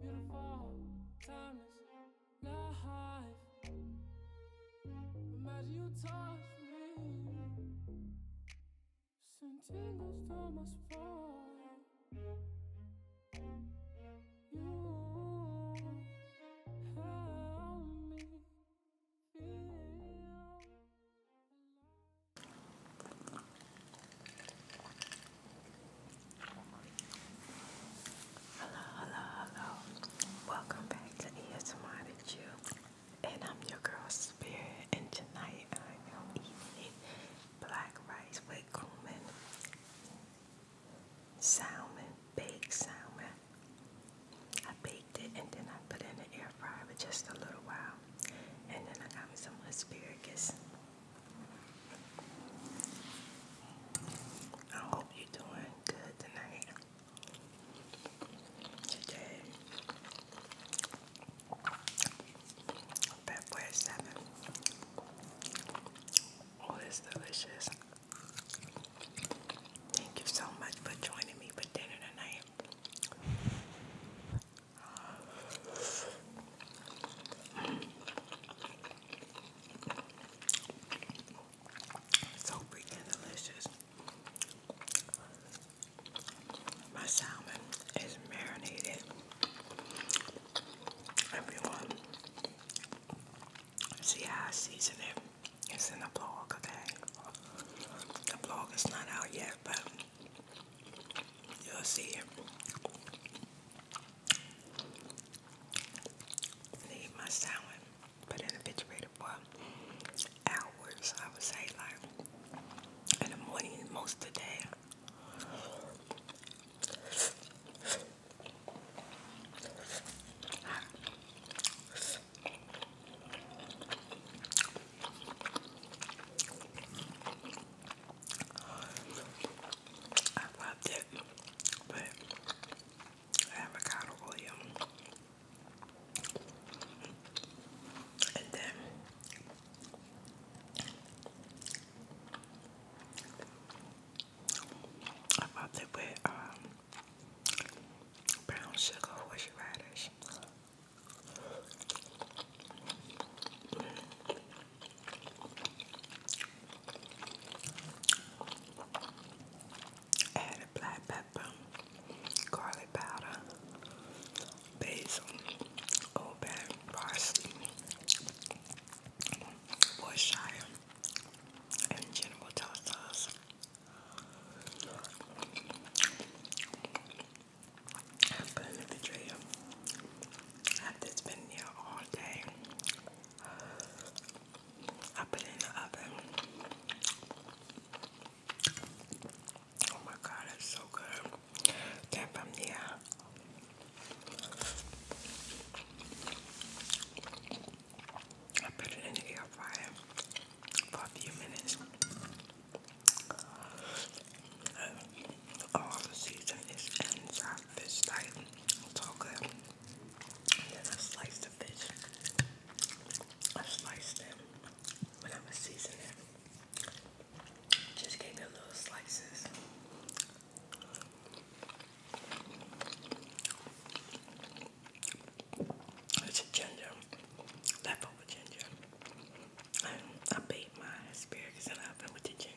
Beautiful, timeless, life. Imagine you touch me. Send tingles to You help me feel Hello, hello, hello. Welcome back to ESMR with you. And I'm your girl Spirit. And tonight I am eating black rice with cumin, salmon, baked salmon. I baked it and then I put in the air fryer for just a little while. And then I got me some asparagus. I hope you're doing good tonight. Today, February 7th. All is delicious. Thank you so much for joining me for dinner tonight. So freaking delicious. My salmon is marinated. Everyone, see how I season it? It's in the blog, okay? The blog is not out yet, but you'll see it leave my salad, put it in the refrigerator for hours. I would say like in the morning most of the day. I rubbed it with avocado oil and then I rubbed it with um, brown sugar horseradish. Added black pepper, garlic powder, basil, open, parsley, Worcestershire, and general toast sauce. in the tray I've been here all day. I put it in the oven. Oh my god, it's so good. Came from here. I put it in the air fryer for a few minutes. Oh, all the seasoning is inside fish like it's good. then I slice the fish. I slice them. when I was seasoning it. Just give it little slices. It's a ginger, leftover ginger. I baked my asparagus in the with the ginger.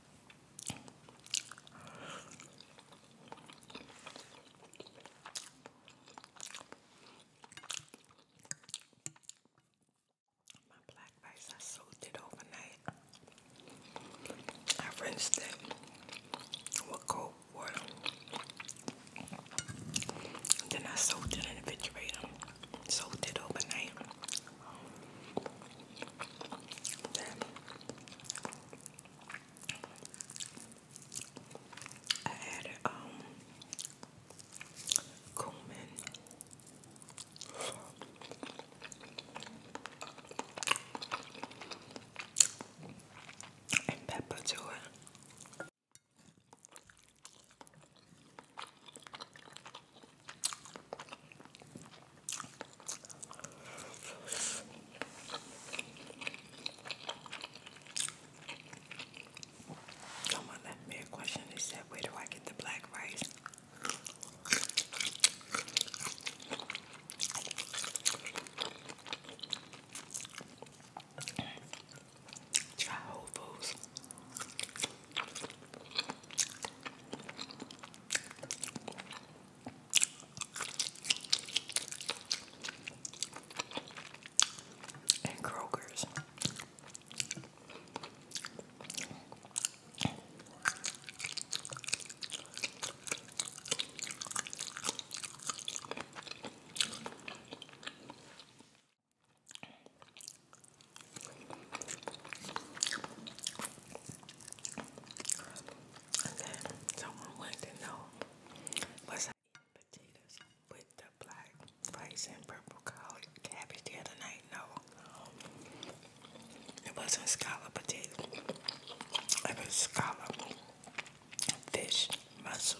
My black rice, I soaked it overnight. I rinsed it with cold water. then I soaked it in the refrigerator soaked it overnight. I added um, cumin. And pepper to it. Someone left me a question. They said, Where do I get the black rice? Try Whole Foods and Kroger's someone wanted to know was I eating potatoes with the black rice and purple cabbage the other night? No. It wasn't scallop potato. It was scallop fish mussel.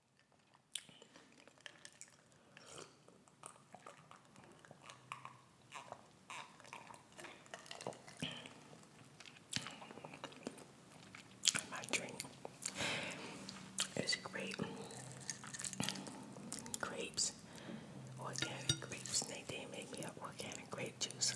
My drink is grape grapes, organic grapes. They did make me up organic grape juice.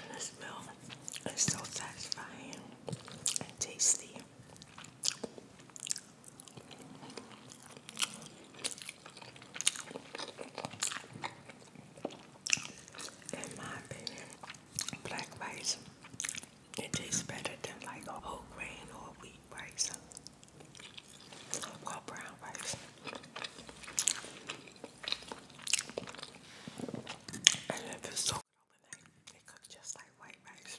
And the smell is so satisfying and tasty. In my opinion, black rice it tastes better than like a whole grain or wheat rice. Well, brown rice. And if it's soaked overnight, it cooks just like white rice.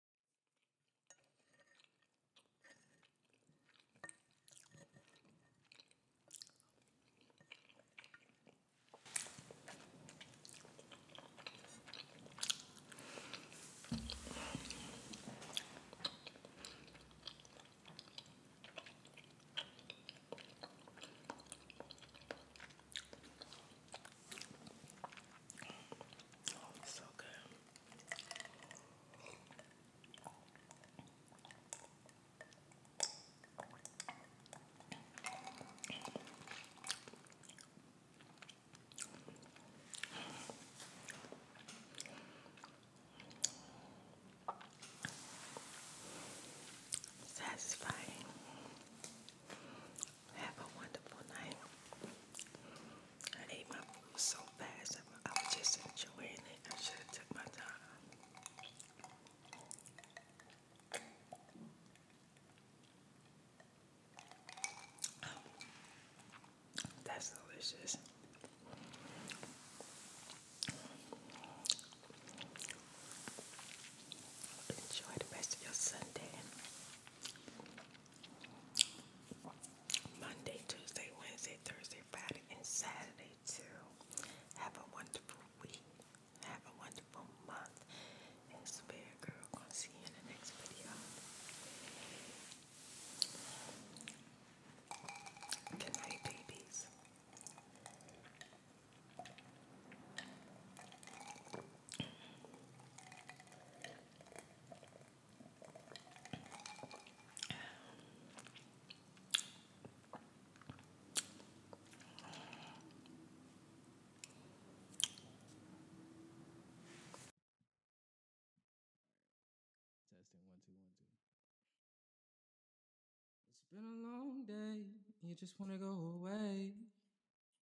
Oh, it's so good. Satisfying. Have a wonderful night. I ate my food so fast. I was just enjoying it. I should have took my time. Oh, that's delicious. Enjoy the rest of your Sunday. Monday, Tuesday, Wednesday, Thursday, Friday, and Saturday too. Have a wonderful week. Have a wonderful month. And Spirit Girl, gonna see you in the next video. Good night, babies two, one, two. It's been a long day. You just want to go away.